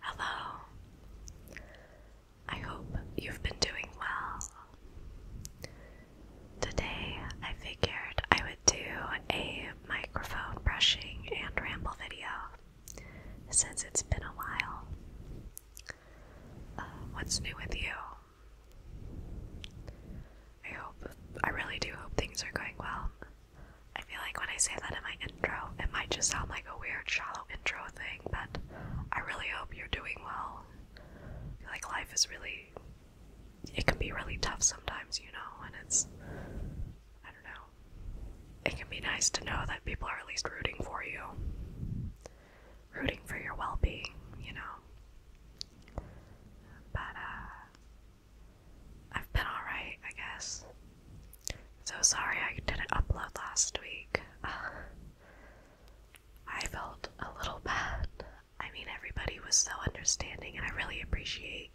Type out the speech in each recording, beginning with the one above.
Hello. I hope you've been doing well. Today, I figured I would do a microphone brushing and ramble video since it's been a while. Uh, what's new with you? I hope, I really do hope things are going well. I feel like when I say that in my intro, it might just sound like a weird, shallow intro thing, but I really hope you're doing well. I feel like life is really, it can be really tough sometimes, you know, and it's, I don't know, it can be nice to know that people are at least rooting for you, rooting for your well being, you know. But, uh, I've been alright, I guess. So sorry I didn't upload last week. I felt a little bad. I mean, everybody was so understanding, and I really appreciate.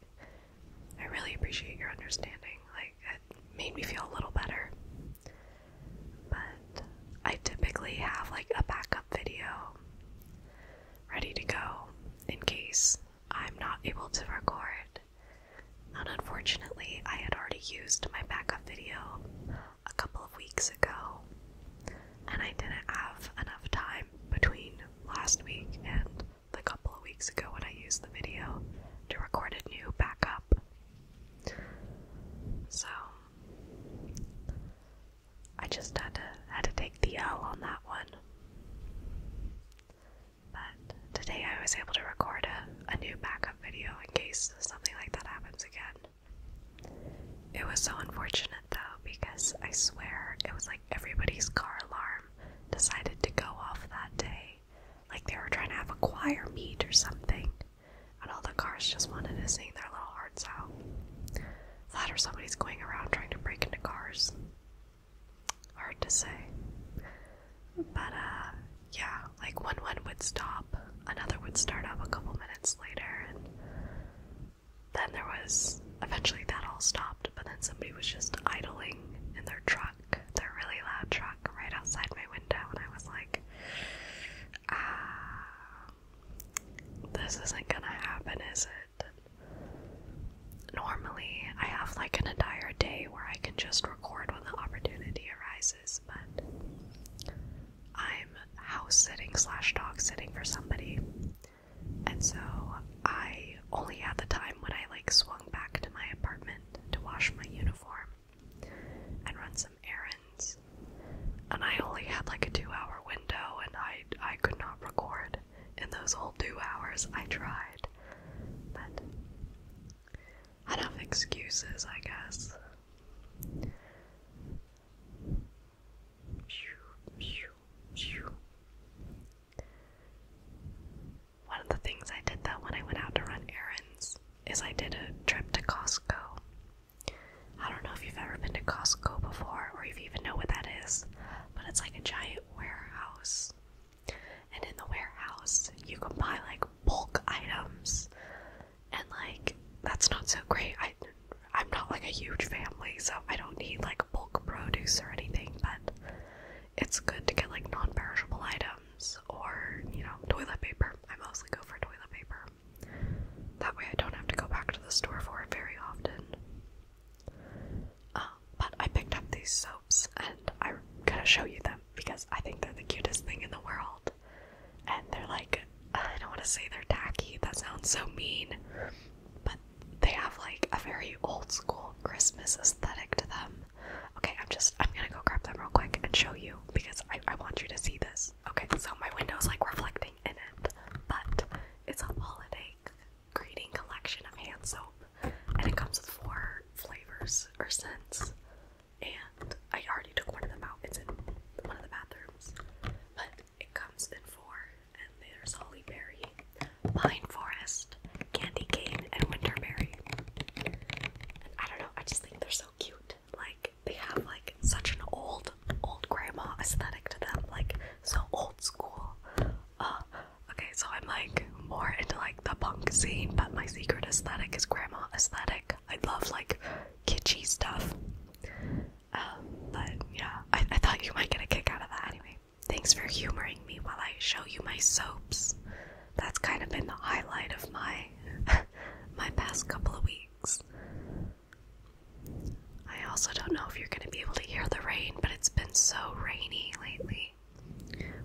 I really appreciate your understanding. Like, it made me feel a little better. But I typically have like a backup video ready to go in case I'm not able to record. And unfortunately, I had already used my backup video a couple of weeks ago, and I didn't have enough time between last week and the couple of weeks ago when I used the video to record a new backup. So I just had to had to take the L on that one. But today I was able to record a, a new backup video in case something like that happens again. It was so unfortunate though because I swear it was like everybody's car alarm decided to go off that day. Like they were trying to have a choir meet or something. And all the cars just wanted to sing their little hearts out. That or somebody's going around trying to break into cars. Hard to say. But uh yeah, like when one would stop, another would start up a couple minutes later and then there was eventually that all stopped, but then somebody was just idling in their truck, their really loud truck right outside my window and I was like ah this isn't gonna happen, is Normally, I have like an entire day where I can just record when the opportunity arises, but I'm house sitting slash dog sitting for somebody, and so I only had the time when I like swung back to my apartment to wash my uniform and run some errands, and I only had like a two hour window, and I I could not record in those old two hours. I tried, but enough excuses, I guess. One of the things I did though when I went out to run errands is I did a trip to Costco. I don't know if you've ever been to Costco before or if you even know what that is, but it's like a giant warehouse. And in the warehouse, you can buy like bulk items. And like that's not so great. I I'm not like a huge family, so I don't need like bulk produce or anything, but it's good to get like non-perishable items or, you know, toilet paper. I mostly go for toilet paper. That way I don't have to go back to the store for it very often. Uh, but I picked up these soaps and I'm gonna show you them because I think they're the cutest thing in the world. And they're like, uh, I don't want to say they're tacky, that sounds so mean, but they have like a very old school Christmas aesthetic to them. Okay, I'm just, I'm gonna go grab them real quick and show you because I, I want you to see this. Okay, so my window's like reflecting in it, but it's a holiday like collection of hand soap, and it comes with four flavors or scents. And I already took one of them out. It's in one of the bathrooms, but it comes in four. And there's holly berry, pine forest, candy cane, and winterberry. And I don't know. I just think they're so cute. Like they have like such an old, old grandma aesthetic to them. Like so old school. Uh, okay, so I'm like more into like the punk scene, but my secret aesthetic is grandma aesthetic. I love like kitschy stuff. Um, but yeah, I, I thought you might get a kick out of that anyway. Thanks for humoring me while I show you my soaps. That's kind of been the highlight of my my past couple of weeks. I also don't know if you're going to be able to hear the rain, but it's been so rainy lately.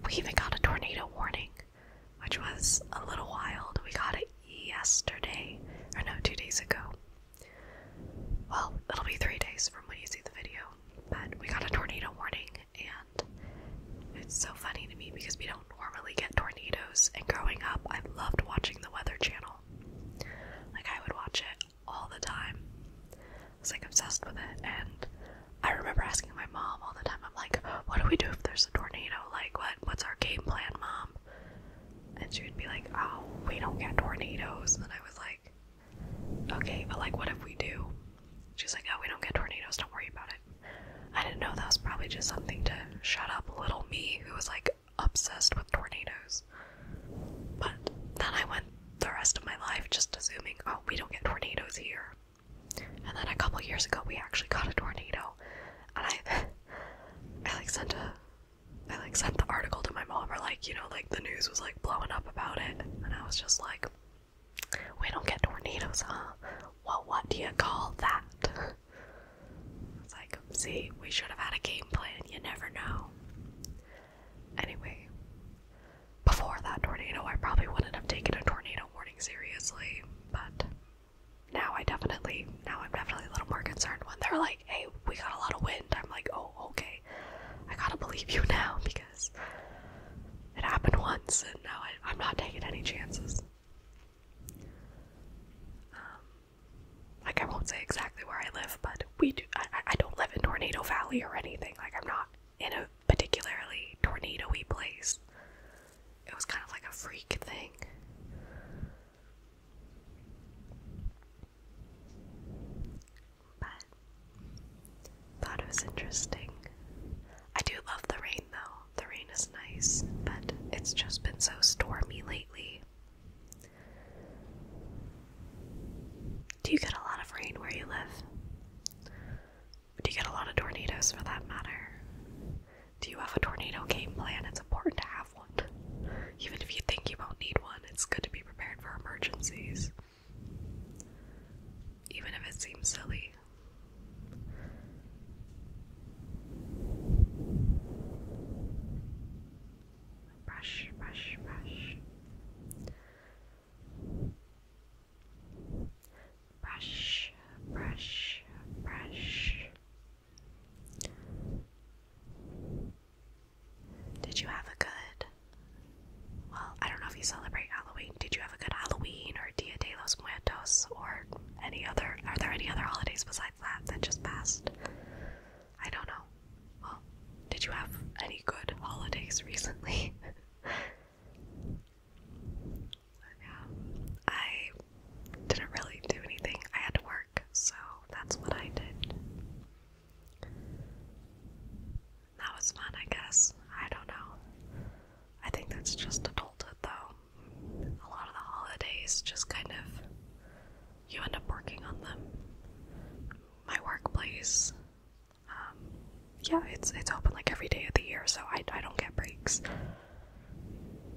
We even got a tornado warning, which was a little wild. We got it yesterday, or no, two days ago. Well, it'll be three days from when you see the video, but we got a tornado warning, and it's so funny to me because we don't normally get tornadoes. And growing up, I loved watching the Weather Channel. Like, I would watch it all the time. I was like obsessed with it, and I remember asking my mom all the time. I'm like, "What do we do if there's a tornado? Like, what? What's our game plan, mom?" And she would be like, "Oh, we don't get tornadoes." And I was like, "Okay, but like, what if we do?" She's like, "Oh, we don't get tornadoes. Don't worry about it." I didn't know that was probably just something to shut up little me, who was like, obsessed with tornadoes. But then I went the rest of my life just assuming, oh, we don't get tornadoes here. And then a couple years ago, we actually got a tornado, and I, I like sent a, I like sent the article to my mom, or like you know, like the news was like blowing up about it, and I was just like, we don't get tornadoes, huh? Well, what do you call that? It's like, see, we should have had a game plan. You never know. Anyway, before that tornado, I probably wouldn't have taken a tornado warning seriously, but now I definitely, now I'm definitely a little more concerned when they're like, hey, we got a lot of wind. I'm like, oh, okay. I gotta believe you now because it happened once and now I, am not taking any chances. Um, like I won't say exactly where I live, but we do. I don't live in Tornado Valley or anything. Like I'm not in a particularly tornadoy place. It was kind of like a freak thing. But thought it was interesting. I do love the rain though. The rain is nice, but it's just been so stormy lately. Do you get a lot of rain where you live? Do you get a lot of tornadoes for that matter? Do you have a tornado game plan? It's important to have one. Even if you think you won't need one, it's good to be prepared for emergencies. Even if it seems silly brush, brush, brush. Brush, brush, brush. Did you have a good? Well, I don't know if you celebrate Halloween. Did you have a good Halloween or Dia de los Muertos or any other? Are there any other holidays besides that that just passed? I don't know. Well, did you have any good holidays recently? yeah, I didn't really do anything. I had to work, so that's what I did. That was fun, I guess. I don't know. I think that's just adulthood, though. A lot of the holidays just kind of you end up working on them. My workplace, um, yeah, it's it's open like every day of the year, so I I don't get breaks.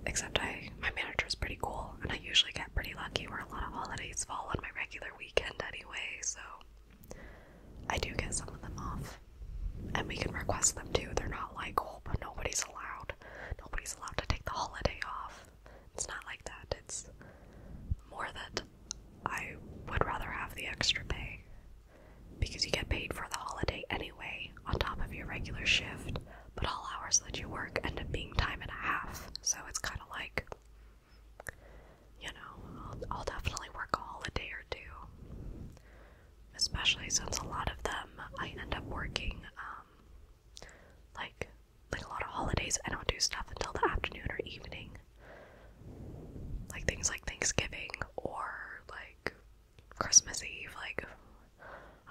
Except I my manager is pretty cool, and I usually get pretty lucky where a lot of holidays fall on my regular weekend anyway, so I do get some of them off. And we can request them too. They're not like, oh, but nobody's allowed. Nobody's allowed to take the holiday off. It's not like that. It's more that I would rather have the extra pay because you get paid for the holiday anyway on top of your regular shift, but all hours that you work end up being time and a half. So it's kind of like, you know, I'll, I'll definitely work a holiday or two, especially since a lot of them I end up working um, like like a lot of holidays, I don't do stuff until the afternoon or evening. Like things like Thanksgiving or like Christmas Eve. Like,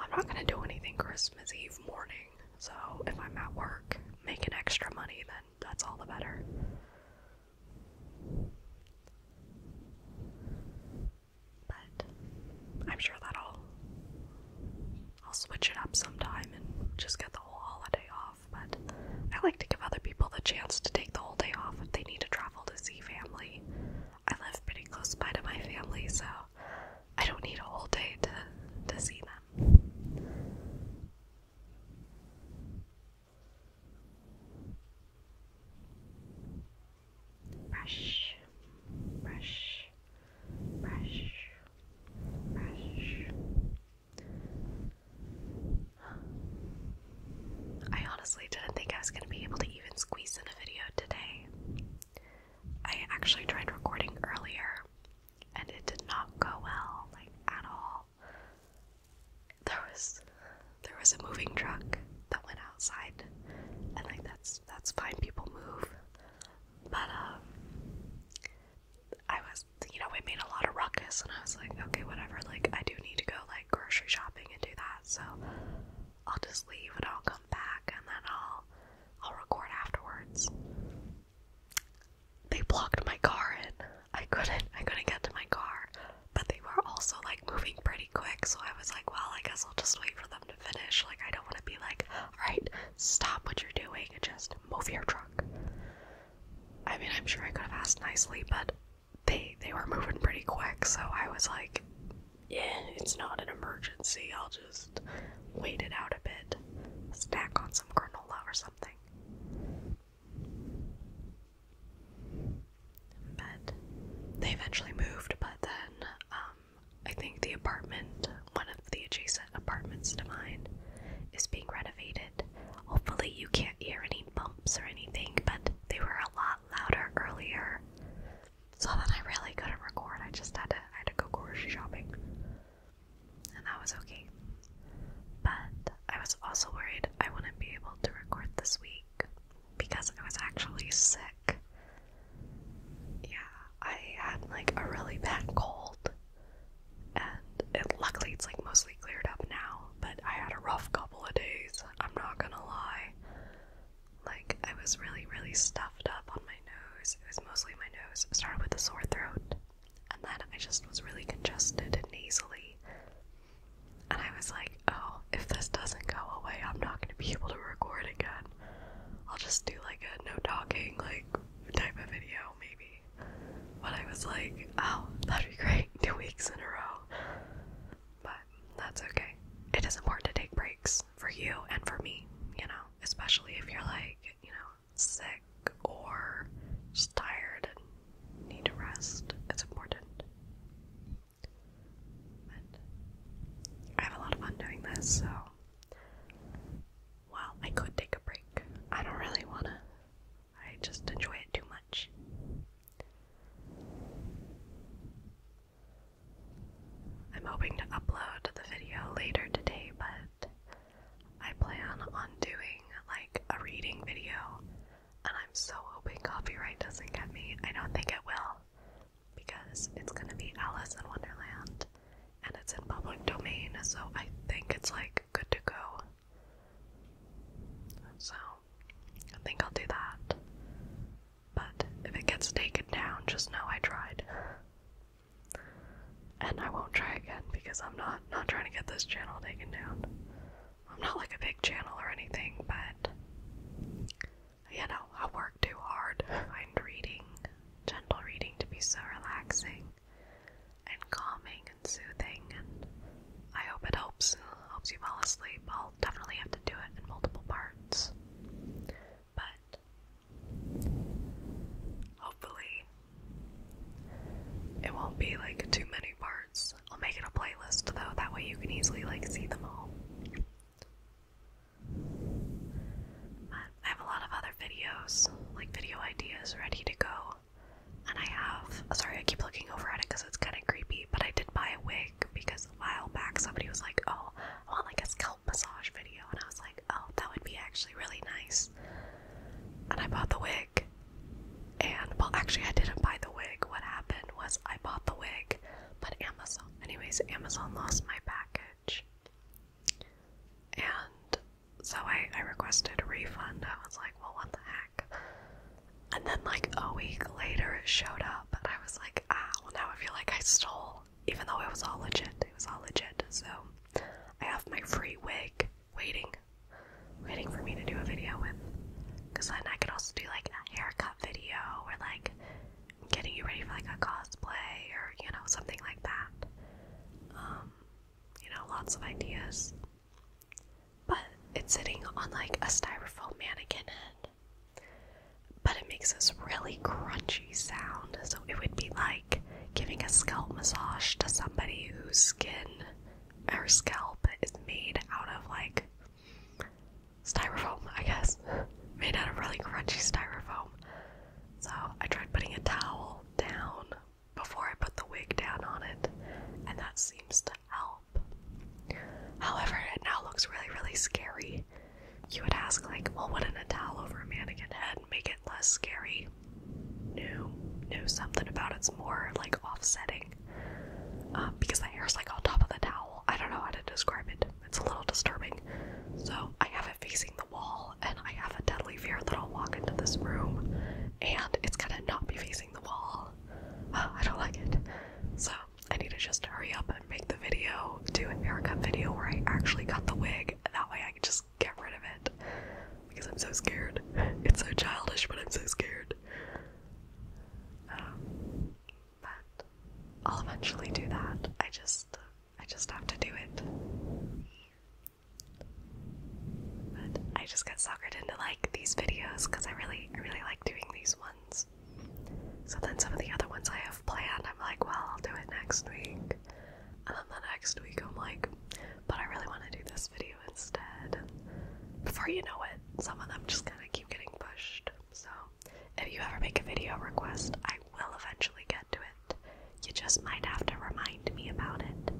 I'm not gonna do anything Christmas Eve morning. So, if I'm at work making extra money, then that's all the better. But I'm sure that'll I'll switch it up sometime and just get the whole holiday off. But I like to give other people the chance to take the whole day off if they need to travel to see family. I live pretty close by to my family, so I don't need a whole day to, to see them. Brush, brush, I honestly didn't think I was going to be able to even squeeze in a video today. I actually tried recording earlier and it did not go well, like at all. There was there was a moving truck that went outside and like that's that's fine. People move, but um, I was, you know, it made a lot of ruckus, and I was like, okay, whatever. Like, I do need to go like grocery shopping and do that, so I'll just leave and I'll come back, and then I'll I'll record afterwards. They blocked my car in. I couldn't I couldn't get to my car, but they were also like moving pretty quick, so I was like, well, I guess I'll just wait for them finish. Like, I don't want to be like, all right, stop what you're doing and just move your truck. I mean, I'm sure I could have asked nicely, but they they were moving pretty quick, so I was like, yeah, it's not an emergency. I'll just wait it out a bit, snack on some granola or something. But they eventually moved, but then um, I think the apartment, one of the adjacent apartments to mine, is being renovated. Hopefully, you can't hear any bumps or anything, but they were a lot louder earlier. So then I really couldn't record. I just had to, I had to go grocery shopping, and that was okay. But I was also worried I wouldn't be able to record this week because I was actually sick. Yeah, I had like a really bad cold, and luckily it's like mostly cleared up now. But I had a rough couple of days. I'm not gonna lie. Like I was really, really stuffed up on my nose. It was mostly my nose. started with a sore throat, and then I just was really congested and nasally. And I was like, oh, if this doesn't go away, I'm not gonna be able to record again. I'll just do like a no talking, like type of video, maybe. But I was like, oh, that'd be great, two weeks in a row. But that's okay. It is important to take breaks for you and for me, you know, especially if you're like, you know, sick or just tired and need to rest. It's important. I have a lot of fun doing this, so well, I could take a break. I don't really wanna. I just enjoy it too much. I'm hoping to upload the video later today, but I plan on doing like a reading video, and I'm so hoping copyright doesn't get me. I don't think it will, because it's gonna be Alice in Wonderland and it's in public domain, so I think it's like good to go. So I think I'll do that. But if it gets taken down, just know I tried. And I won't try again because I'm not not trying to get this channel taken down. I'm not like a big channel or anything, but you know, I work too hard. I reading, gentle reading, to be so relaxing and calming and soothing. And I hope it helps helps you fall asleep. I'll definitely have to do it in multiple parts, but hopefully it won't be like too many parts. I'll make it a playlist though, that way you can easily like see them all. But I have a lot of other videos, like video ideas ready to go. And I have, sorry, I keep looking over at it because it's kind of creepy, but I did buy a wig because a while back somebody was like, oh, I want like a scalp massage video. And I was like, oh, that would be actually really nice. And I bought the wig. And, well, actually, I didn't buy the wig. What happened was I bought the wig, but Amazon, anyways, Amazon lost my package. And so I, requested a refund. I was like, well, what the heck? And then, like, a week later, it showed up, and I was like, ah, well, now I feel like I stole, even though it was all legit. It was all legit. So I have my free wig waiting, waiting for me to do a video with. Because then I could also do, like, a haircut video or, like, getting you ready for like a cosplay or you know something like that. Um, you know, lots of ideas. But it's sitting on like a styrofoam mannequin head. But it makes this really crunchy sound, so it would be like giving a scalp massage to somebody whose skin or scalp is made out of like styrofoam, I guess, made out of really crunchy styrofoam. So I tried putting a towel down before I put the wig down on it, and that seems to help. However, it now looks really, really scary. You would ask, like, well, wouldn't a towel over a mannequin head make it less scary? No, no, something about it's more like offsetting. Uh, because the hair is like on top of the towel. I don't know how to describe it. It's a little disturbing. So I have it facing the wall, and I have a deadly fear that I'll walk into this room and it's gonna not be facing the wall. Uh, I don't like it. So I need to just hurry up and make the video, do an haircut video where I actually got the wig. and That way I can just get rid of it. Because I'm so scared. It's so childish, but I'm so scared. Um, but I'll eventually do that. I just I just have to do it. But I just got suckered into like these videos because I really I really like doing these ones. So then some of the other ones I have planned, I'm like, well, I'll do it next week. And then the next week I'm like, but I really want to do this video instead. before you know it, some of them just kind of keep getting pushed. So if you ever make a video request, I will eventually get to it. You just might have to remind me about it.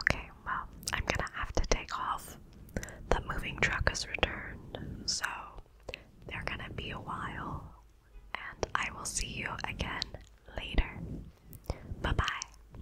Okay, well, I'm gonna have to take off. The moving truck has returned, so they're gonna be a while, and I will see you again later. Bye bye.